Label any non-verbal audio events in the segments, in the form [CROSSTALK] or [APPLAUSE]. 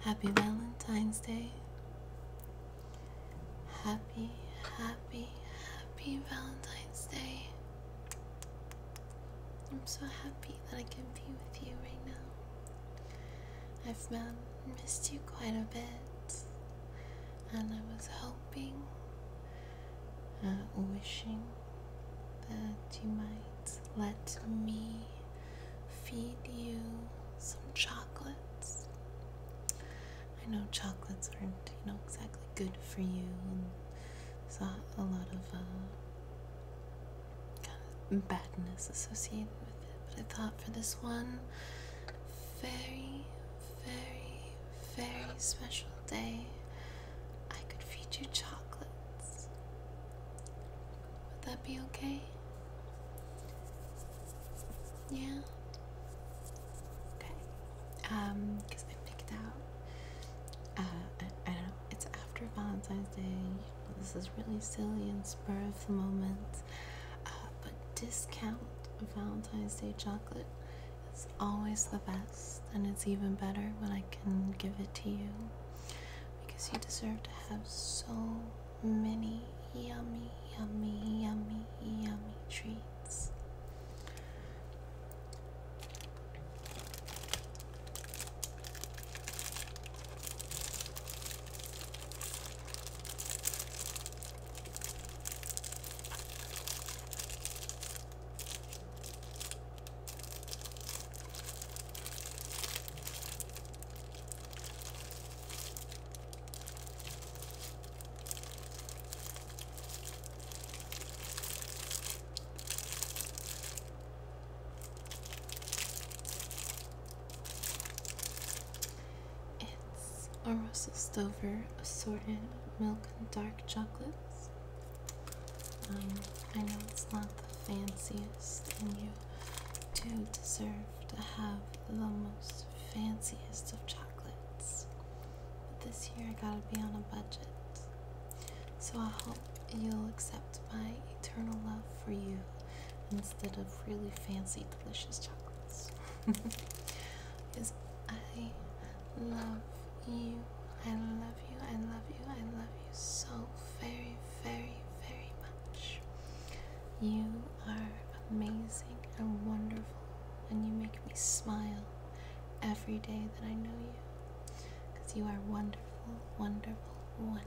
Happy Valentine's Day. Happy, happy, happy Valentine's Day. I'm so happy that I can be with you right now. I've man, missed you quite a bit, and I was hoping, uh, wishing that you might let me feed you some chocolates. I know chocolates aren't, you know, exactly good for you, and there's a lot of uh, kind of badness associated with it. But I thought for this one very, very, very special day. I could feed you chocolates. Would that be okay? Yeah? Okay. Um, because I picked out, uh, I, don't know, it's after Valentine's Day. This is really silly and spur of the moment. Uh, but discount Valentine's Day chocolate it's always the best, and it's even better when I can give it to you because you deserve to have so many yummy, yummy, yummy, yummy treats. It's a Russell Stover assorted milk and dark chocolates I know it's not the fanciest, and you do deserve to have the most fanciest of chocolates. But this year I gotta be on a budget. So I hope you'll accept my eternal love for you instead of really fancy, delicious chocolates. because [LAUGHS] I love you. I love you. I love you. I love you so very, very, very much. You are amazing and wonderful, and you make me smile every day that I know you. Because you are wonderful, wonderful, wonderful.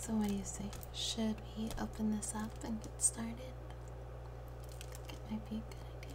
So, what do you say? Should we open this up and get started? It might be a good idea.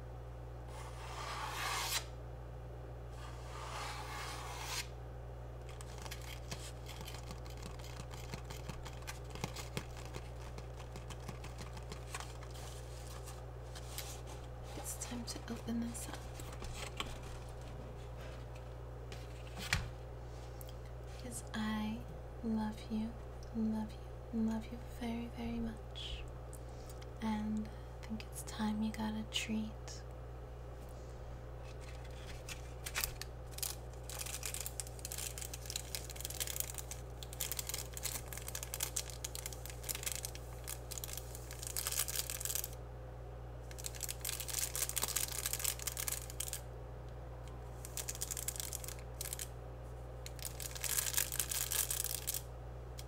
It's time to open this up. Because I love you, love you, love you very, very much. And I think it's time you got a treat.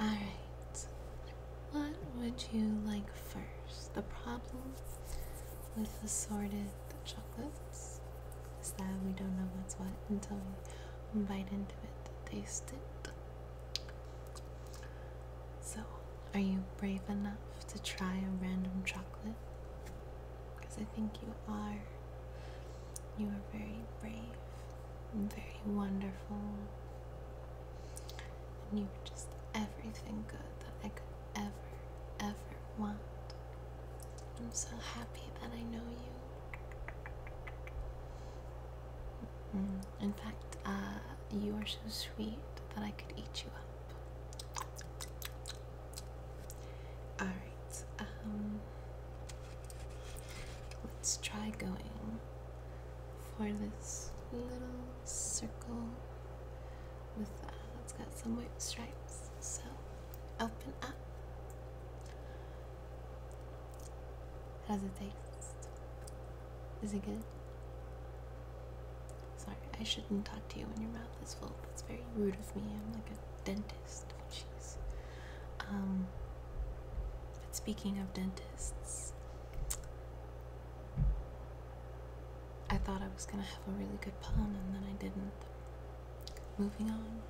All right. What would you like first? The problem with the sorted chocolates is that we don't know what's what until we bite into it, taste it. So are you brave enough to try a random chocolate? Because I think you are. You are very brave and very wonderful. And you are just everything good that I could ever, ever want. I'm so happy that I know you. Mm-hmm. In fact, uh, you are so sweet that I could eat you up. All right. Um, let's try going for this little circle with uh, it's got some white stripes. So open up. How's it taste? Is it good? Sorry, I shouldn't talk to you when your mouth is full. That's very rude of me. I'm like a dentist. Jeez. Um, but speaking of dentists, I thought I was gonna have a really good pun and then I didn't. Moving on.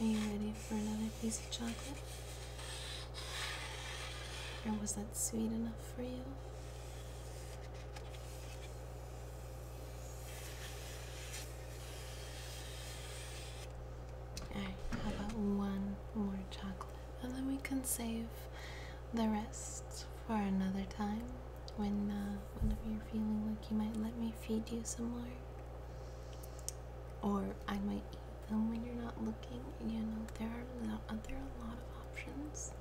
Are you ready for another piece of chocolate? Or was that sweet enough for you? Alright, how about one more chocolate? And then we can save the rest for another time when uh, whenever you're feeling like you might let me feed you some more. Or I might eat them when you're not looking. You know, there are, uh, there are a lot of options.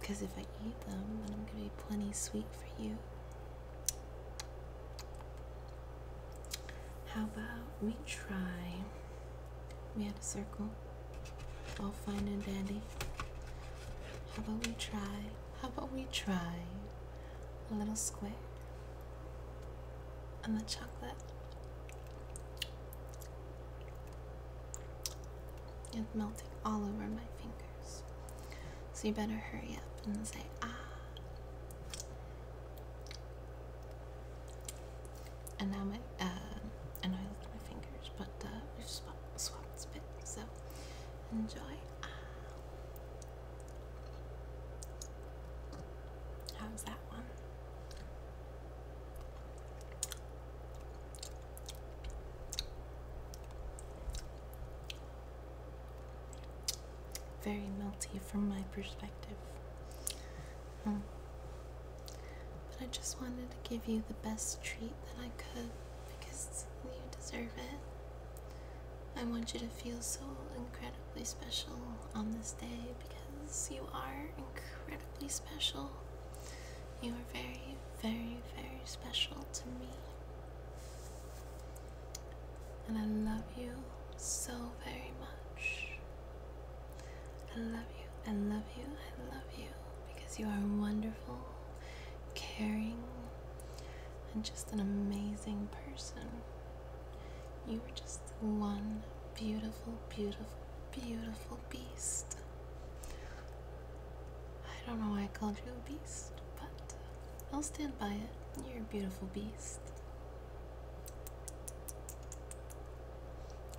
Because um, if I eat them, then I'm going to be plenty sweet for you. How about we try? We had a circle. All fine and dandy. How about we try how about we try a little square on the chocolate? It's melting all over my fingers. So you better hurry up and say, ah. And now my, uh, I know I looked at my fingers, but uh, we've swapped, swapped spit, so so enjoy. How's that one? Very melty from my perspective. Hmm. but I just wanted to give you the best treat that I could because you deserve it. I want you to feel so incredibly special on this day because you are incredibly special. You are very, very, very special to me. And I love you so very much. I love you, I love you, I love you because you are wonderful, caring, and just an amazing person. You were just one beautiful, beautiful, beautiful beast. I don't know why I called you a beast, but I'll stand by it. You're a beautiful beast.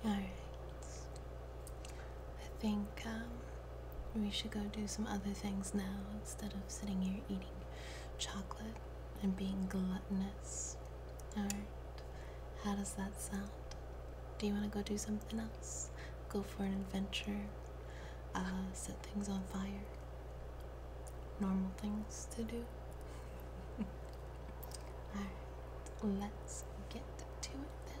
Alright. I think um, we should go do some other things now instead of sitting here eating chocolate and being gluttonous. Alright, how does that sound? Do you want to go do something else? Go for an adventure? Uh, set things on fire? Normal things to do? [LAUGHS] Alright, let's get to it then.